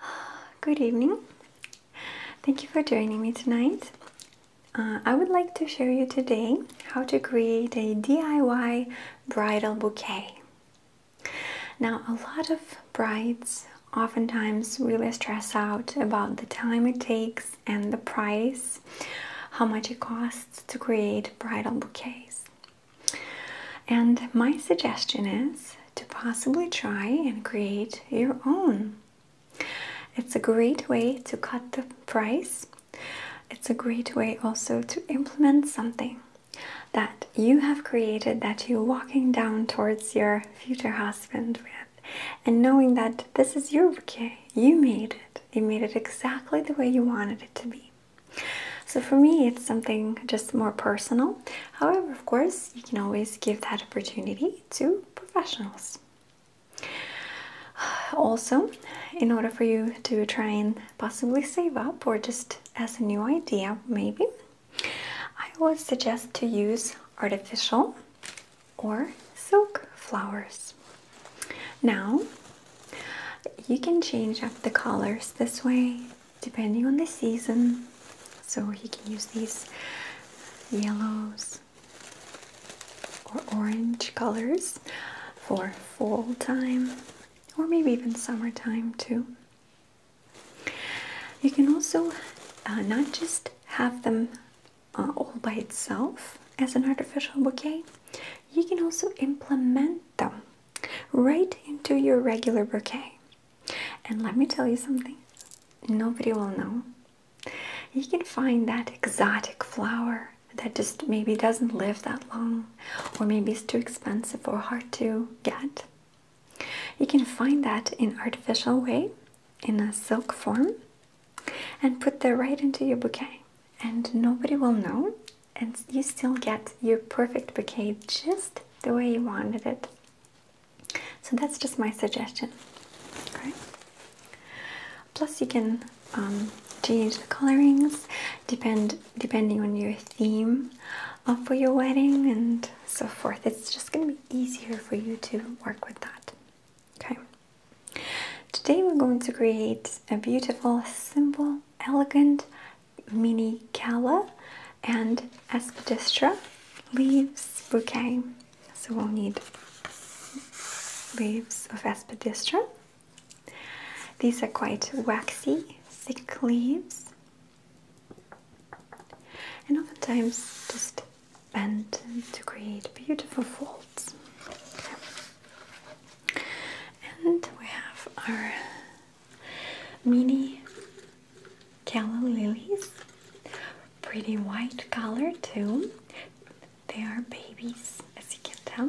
Good evening. Thank you for joining me tonight. Uh, I would like to show you today how to create a DIY bridal bouquet. Now, a lot of brides oftentimes really stress out about the time it takes and the price, how much it costs to create bridal bouquets. And my suggestion is to possibly try and create your own. It's a great way to cut the price. It's a great way also to implement something that you have created that you're walking down towards your future husband with and knowing that this is your bouquet. You made it. You made it exactly the way you wanted it to be. So for me, it's something just more personal. However, of course, you can always give that opportunity to professionals. Also, in order for you to try and possibly save up or just as a new idea, maybe, I would suggest to use artificial or silk flowers. Now, you can change up the colors this way depending on the season. So he can use these yellows or orange colors for fall time or maybe even summertime too. You can also uh, not just have them uh, all by itself as an artificial bouquet, you can also implement them right into your regular bouquet. And let me tell you something nobody will know. You can find that exotic flower that just maybe doesn't live that long, or maybe it's too expensive or hard to get. You can find that in artificial way, in a silk form, and put that right into your bouquet. And nobody will know, and you still get your perfect bouquet just the way you wanted it. So that's just my suggestion. Okay. Plus, you can um, change the colorings depend depending on your theme uh, for your wedding and so forth. It's just going to be easier for you to work with that. Okay. Today we're going to create a beautiful, simple, elegant Mini Minicala, and Aspidistra leaves bouquet. So we'll need leaves of Aspidistra. These are quite waxy, thick leaves, and oftentimes just bent to create beautiful folds. And we have our mini calla lilies pretty white color too they are babies as you can tell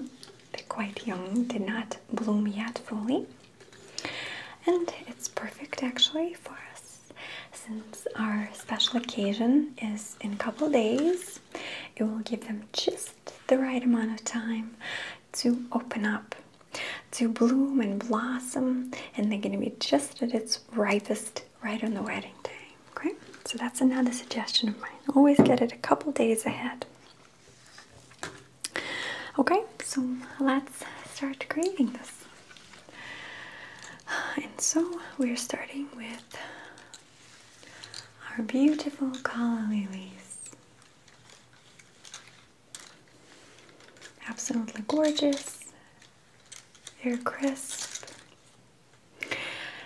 they're quite young did not bloom yet fully and it's perfect actually for us since our special occasion is in a couple days it will give them just the right amount of time to open up, to bloom and blossom, and they're going to be just at its ripest right on the wedding day. Okay, so that's another suggestion of mine. Always get it a couple days ahead. Okay, so let's start creating this. And so we're starting with our beautiful calla lilies. Absolutely gorgeous, they're crisp,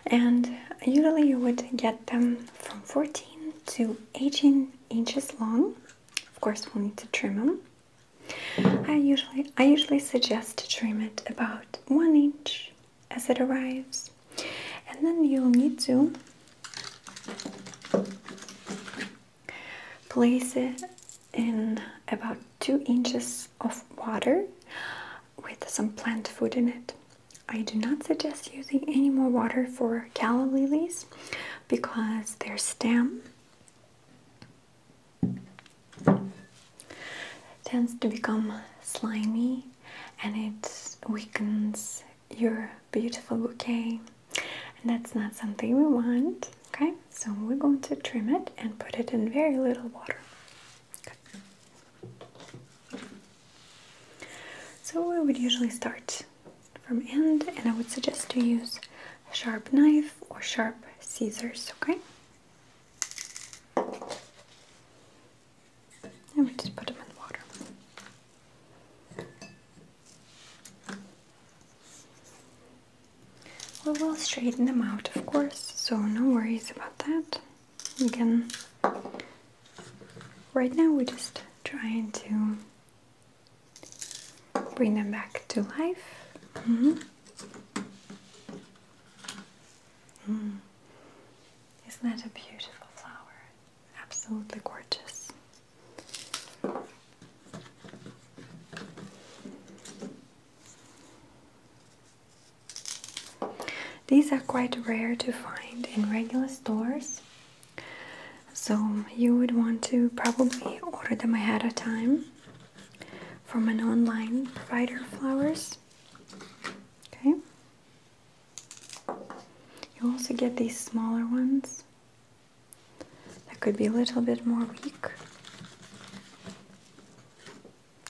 and usually you would get them from 14 to 18 inches long. Of course, we'll need to trim them. I usually I usually suggest to trim it about one inch as it arrives, and then you'll need to Place it in about two inches of water with some plant food in it. I do not suggest using any more water for calla lilies because their stem tends to become slimy and it weakens your beautiful bouquet. And that's not something we want. Okay, so we're going to trim it and put it in very little water. Okay. So we would usually start from end and I would suggest to use sharp knife or sharp scissors, okay? And we just put them in water. We will straighten them out, of course, so no worries about that. Again, right now we're just trying to bring them back to life. Mm-hmm. Mm. Isn't that a beautiful flower? Absolutely gorgeous. These are quite rare to find in regular stores, so you would want to probably order them ahead of time from an online provider of flowers. Okay. You also get these smaller ones that could be a little bit more weak.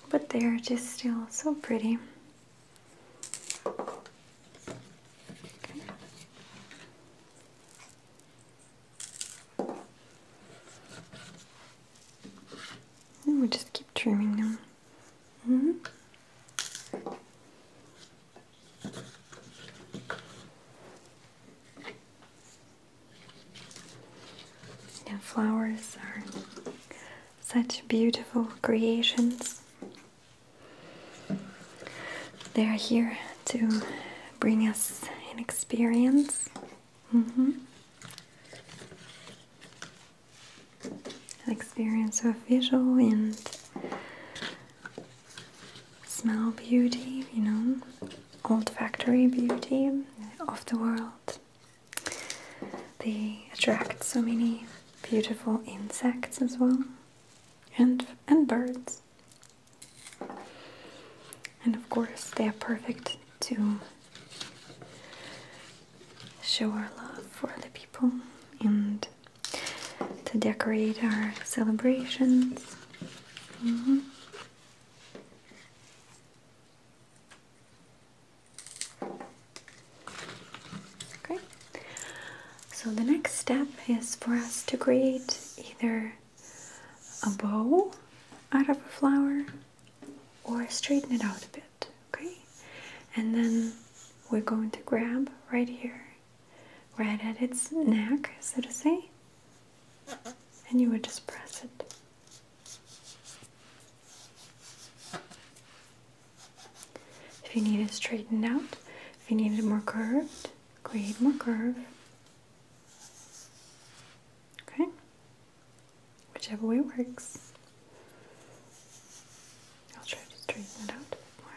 But they are just still so pretty. we just keep trimming them. -hmm flowers are such beautiful creations. They are here to bring us an experience. Mm-hmm. An experience of visual and smell beauty, you know, olfactory beauty of the world. They attract so many beautiful insects as well, and and birds. And of course, they are perfect to show our love for other people and to decorate our celebrations. Mm-hmm. Okay, so the next step is for us to create either a bow out of a flower or straighten it out a bit, okay? And then we're going to grab right here right at its neck, so to say, and you would just press it. If you need it straightened out, if you need it more curved, create more curve. Okay? Whichever way works. I'll try to straighten it out a bit more.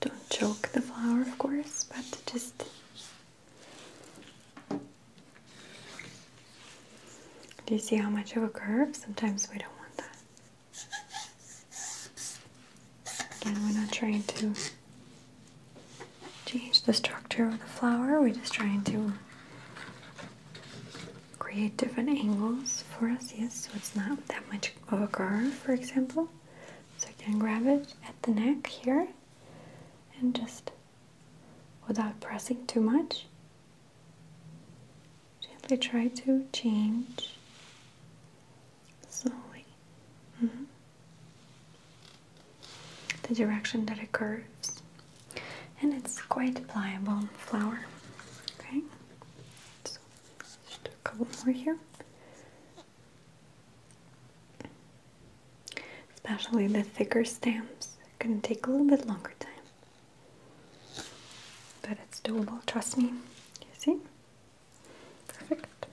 Don't choke the flower, of course, but just do you see how much of a curve? Sometimes we don't want that. Again, we're not trying to change the structure of the flower, we're just trying to create different angles for us, yes, so it's not that much of a curve, for example. So I can grab it at the neck here and just without pressing too much, gently try to change slowly mm-hmm. the direction that it curves and it's quite pliable flower. Okay, so a couple more here. Especially the thicker stems, gonna take a little bit longer time. But it's doable, trust me. You see? Perfect.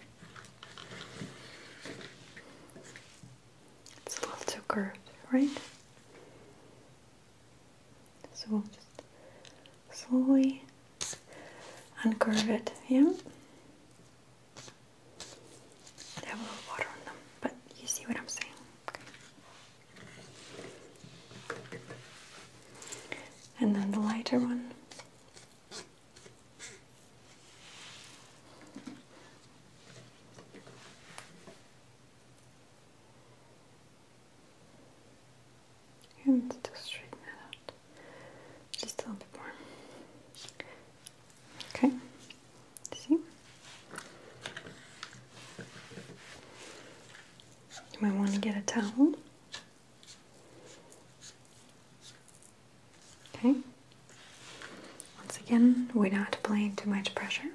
It's a little too curved, right? So we'll just slowly uncurve it, yeah? They have a little water on them, but you see what I'm saying. And then the lighter one and straighten it out just a little bit more. Okay, see? You might want to get a towel. Okay, once again, we're not applying too much pressure.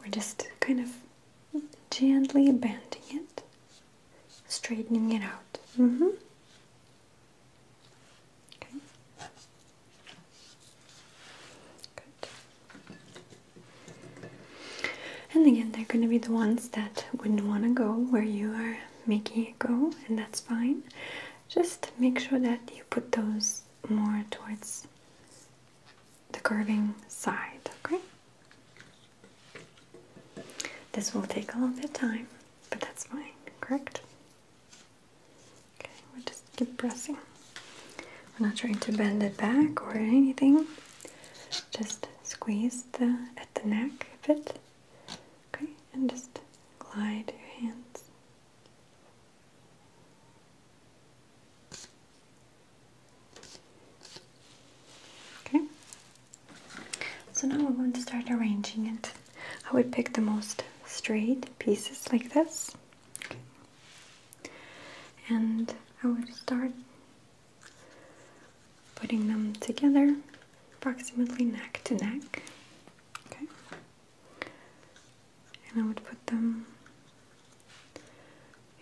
We're just kind of gently bending it, straightening it out. Mm-hmm. And again, they're going to be the ones that wouldn't want to go where you are making it go, and that's fine. Just make sure that you put those more towards the curving side, okay? This will take a little bit of time, but that's fine, correct? Okay, we'll just keep pressing. We're not trying to bend it back or anything. Just squeeze the at the neck a bit. Okay, and just glide your hands Okay, so now we're going to start arranging it. I would pick the most straight pieces like this, and I would start putting them together approximately neck to neck. Okay, and I would put them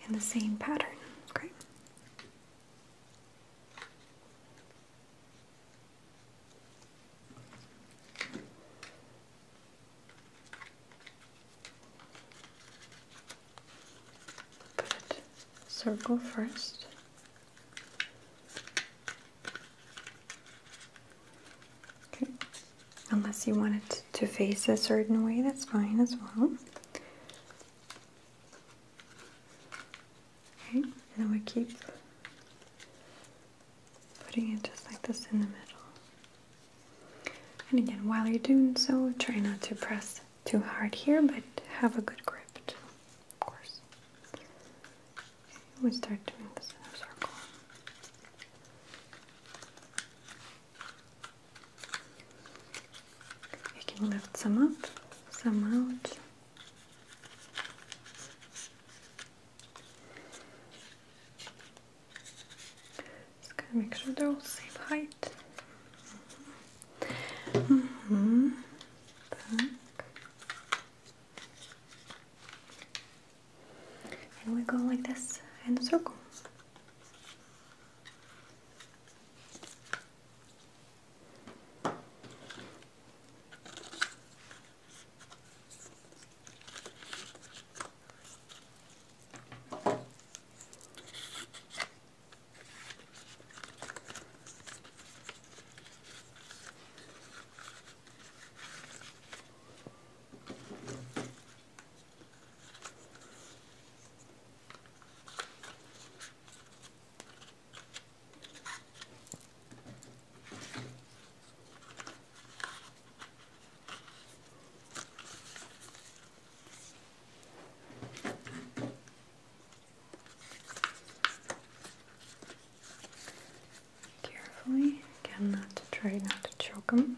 in the same pattern. Okay. Put circle first. Okay. Unless you want it to face a certain way, that's fine as well. Okay, and then we keep putting it just like this in the middle. And again, while you're doing so, try not to press too hard here, but have a good grip of course. we start doing this in a circle. You can lift some up, some out. Just going to make sure they're all the same height. Mm -hmm and we go like this in a circle. Carefully, again, not to try not to choke him.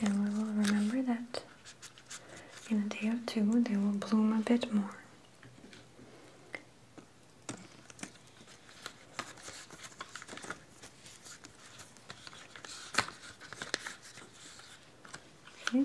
and we will remember that in a day or two they will bloom a bit more. Okay.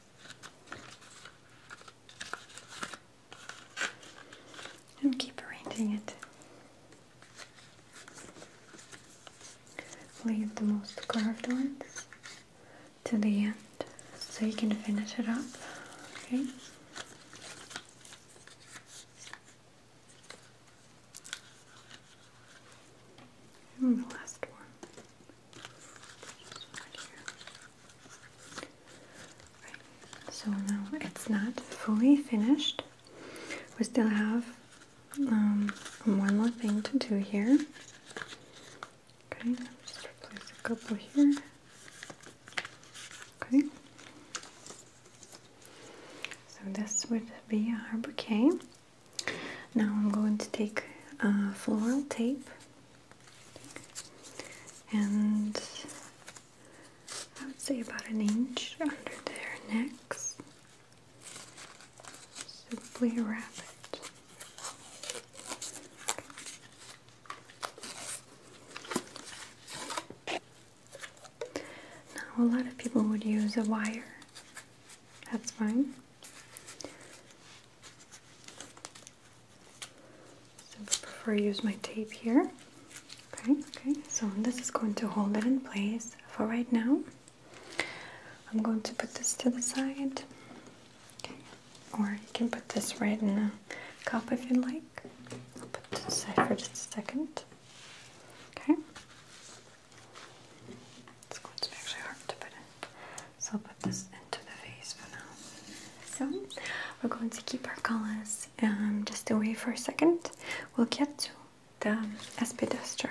and keep arranging it. Leave the most carved ones to the end so you can finish it up. Okay. And the last one. So now it's not fully finished. We still have um, one more thing to do here. Okay, just replace a couple here. Okay. So this would be our bouquet. Now I'm going to take floral tape and I would say about an inch under their necks. Simply wrap it. Now, a lot of people would use a wire, that's fine. So I prefer use my tape here. Okay, okay. So this is going to hold it in place for right now. I'm going to put this to the side. Okay. Or you can put this right in a cup if you like. I'll put this to side for just a second. Okay. It's going to be actually hard to put in. So I'll put this into the vase for now. So we're going to keep our colors um, just wait for a second. We'll get to the Espidestra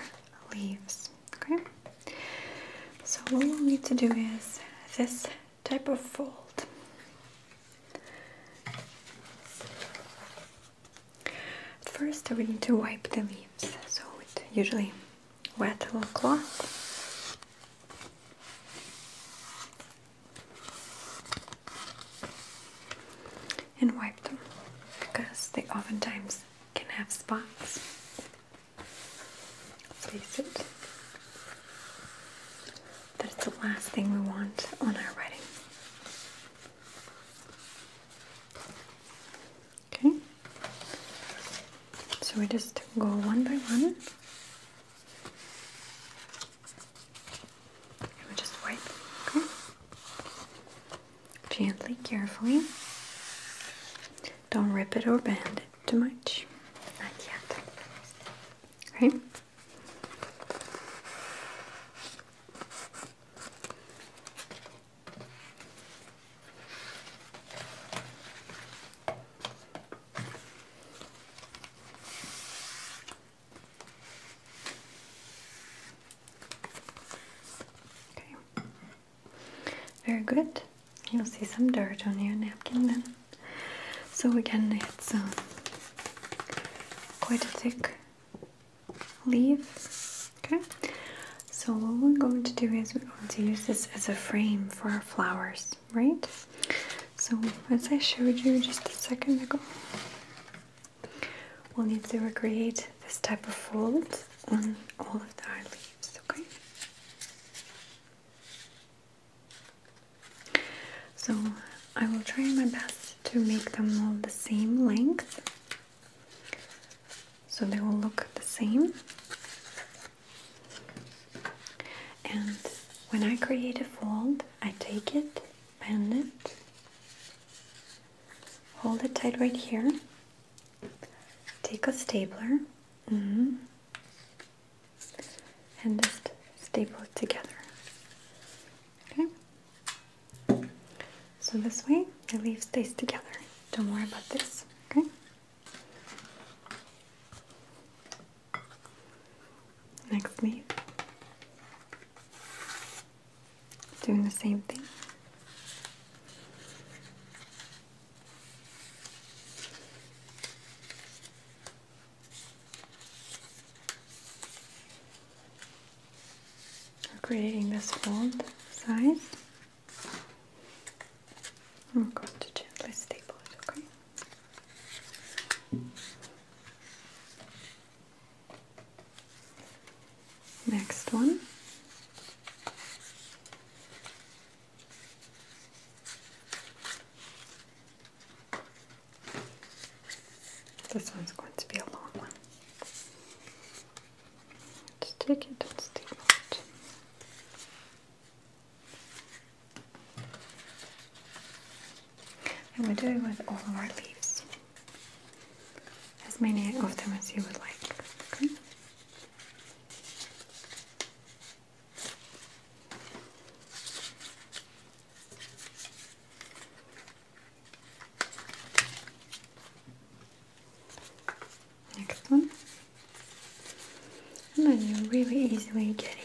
leaves. Okay. So what we need to do is this type of fold. first, we need to wipe the leaves. So it usually wet a cloth. And wipe them because they oftentimes can have spots. Face it. That's the last thing we want on our wedding. Okay. So we just go one by one. we just wipe, okay? Gently, carefully. Don't rip it or bend it too much. Not yet. Okay? Okay. Very good. You'll see some dirt on your napkin then. So again, it's uh, quite a thick leaf Okay, so what we're going to do is we're going to use this as a frame for our flowers, right? So, as I showed you just a second ago, we'll need to recreate this type of fold on all of our leaves, okay? So, I will try my best to make them all the same length so they will look the same. And when I create a fold, I take it, bend it, hold it tight right here, take a stapler, mm-hmm, and just staple it together. Okay? So this way, the leaf stays together. Don't worry about this, okay? Next me. Doing the same thing. We're creating this fold side. I'm going to gently staple it, okay? Next one. This one's going to be a long one let take it and steam it. And we do it with all of our leaves. As many of them as you would like. Okay? Next one. And then you're really easily getting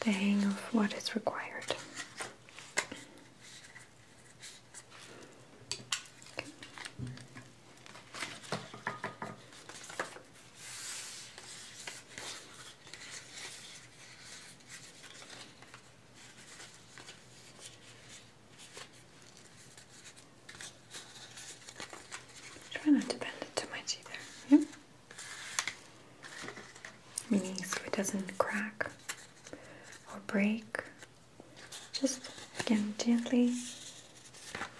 the hang of what is required. Try not to bend it too much either, yeah? so it doesn't crack or break. Just again gently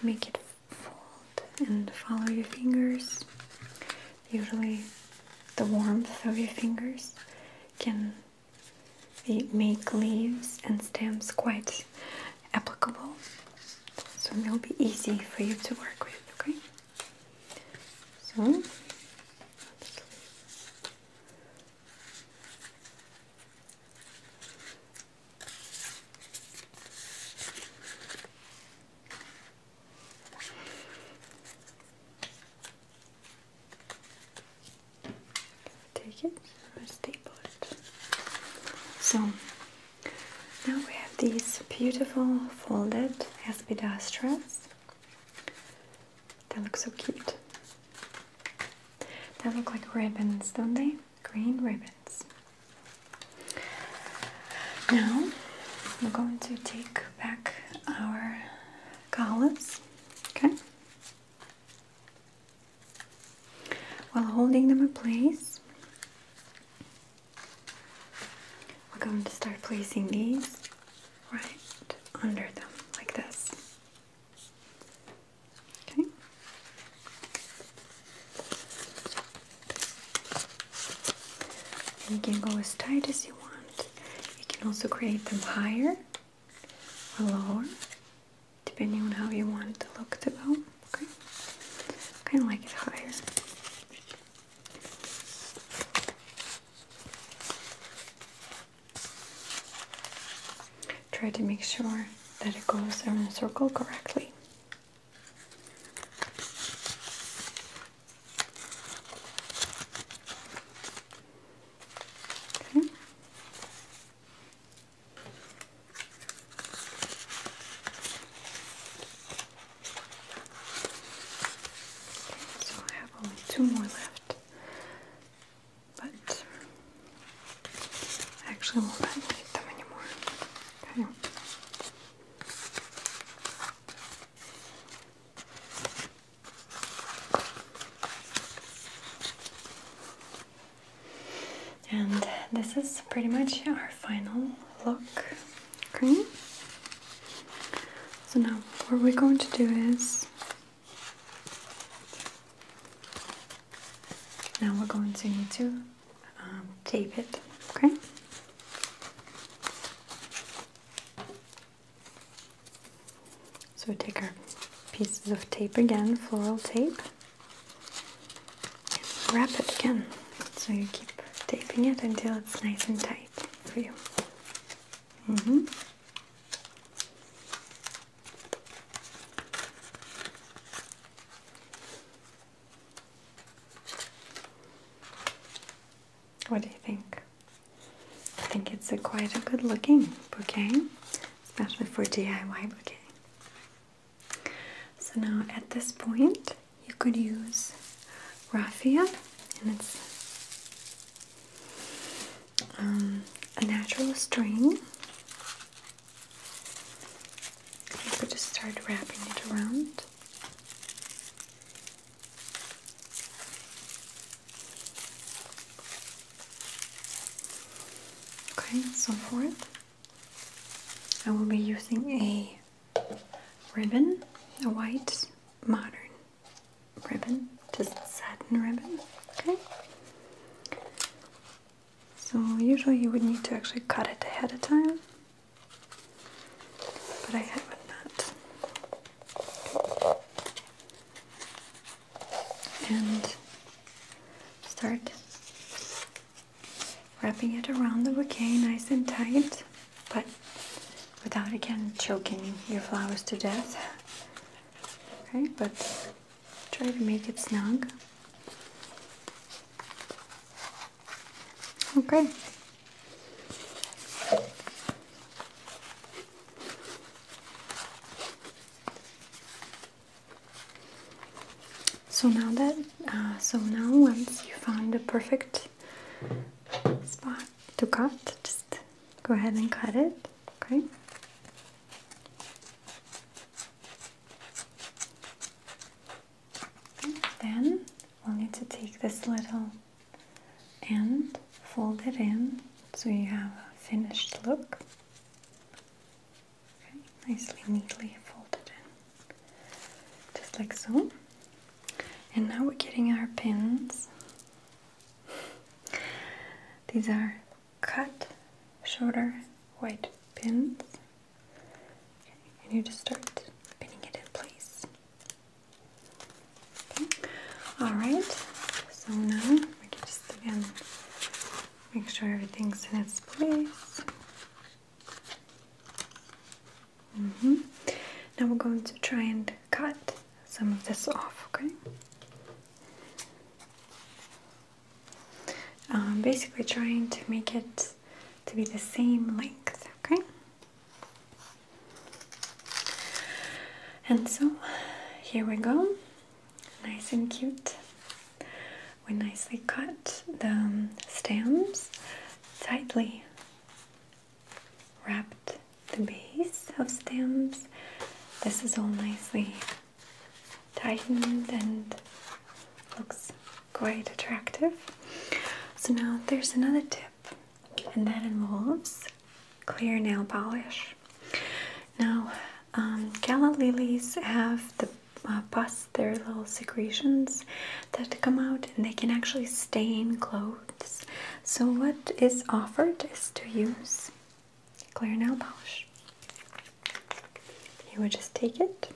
make it fold and follow your fingers. Usually, the warmth of your fingers can we make leaves and stems quite applicable, so it will be easy for you to work with, okay? So, Take it staple it. So now we have these beautiful folded aspidastras. They look so cute. They look like ribbons, don't they? Green ribbons. Now we're going to take back our columns. Okay, while holding them in place, we're going to start placing these right under them, like this. Okay. And you can go as tight as you want. You can also create them higher or lower, depending on how you want the look to go. Okay, kind of like it higher. Try to make sure that it goes around the circle correctly. Okay. so I have only two more left, but I won't need them anymore. And this is pretty much our final look. Okay. So now what we're going to do is now we're going to need to um, tape it. Okay. So we take our pieces of tape again, floral tape, wrap it again. So you keep taping it until it's nice and tight for you. Mm -hmm. What do you think? I think it's quite a good looking bouquet, especially for DIY bouquet. So now at this point you could use raffia and it's um, a natural string. You could just start wrapping it around. Okay, so for it, I will be using a ribbon, a white modern ribbon, just satin ribbon. Okay, so usually you would need to actually cut it ahead of time, but I haven't not and start wrapping it around the bouquet nice and tight, but without again choking your flowers to death. Okay, but try to make it snug. Okay. So now that, uh, so now once you found the perfect spot to cut, just go ahead and cut it, okay? then we'll need to take this little and fold it in so you have a finished look. nicely, neatly folded in, just like so. And now we're getting our pins. These are cut shorter white pins. and you just start pinning it in place. Okay. All right. So now we can just again make sure everything's in its place. Mm-hmm. Now we're going to try and cut some of this off. Okay. Um, basically, trying to make it to be the same length. Okay. And so here we go, nice and cute. We nicely cut the um, stems tightly, wrapped the base of stems. This is all nicely tightened and looks quite attractive. So now there's another tip and that involves clear nail polish. Now, um, gala lilies have the uh, pus, their little secretions that come out, and they can actually stain clothes. So, what is offered is to use clear nail polish. You would just take it.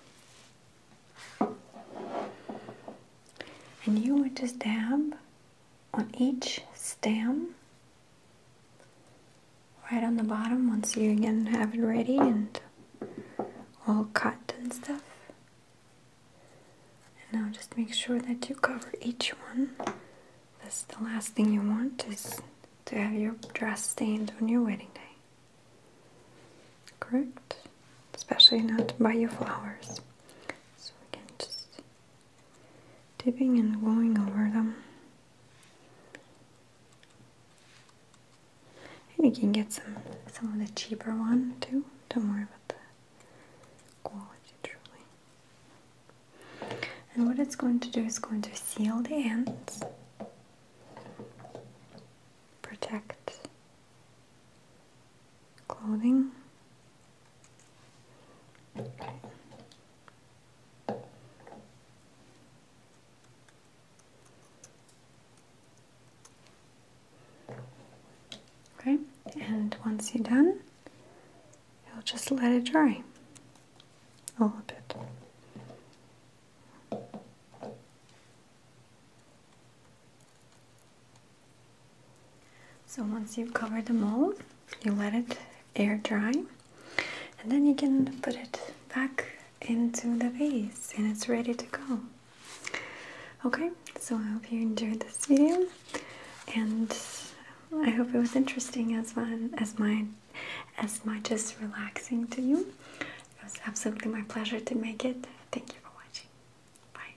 And you would just dab on each stem right on the bottom once you again have it ready and all cut and stuff and now just make sure that you cover each one that's the last thing you want is to have your dress stained on your wedding day correct especially not by your flowers so we can just dipping and going over them. And you can get some some of the cheaper one too. Don't worry about the quality truly. And what it's going to do is going to seal the ends, protect clothing Okay, and once you're done, you'll just let it dry a little bit. So once you've covered the mold, you let it air dry and then you can put it back into the vase and it's ready to go. Okay, so I hope you enjoyed this video and I hope it was interesting as mine as mine as much as relaxing to you. It was absolutely my pleasure to make it. Thank you for watching. Bye.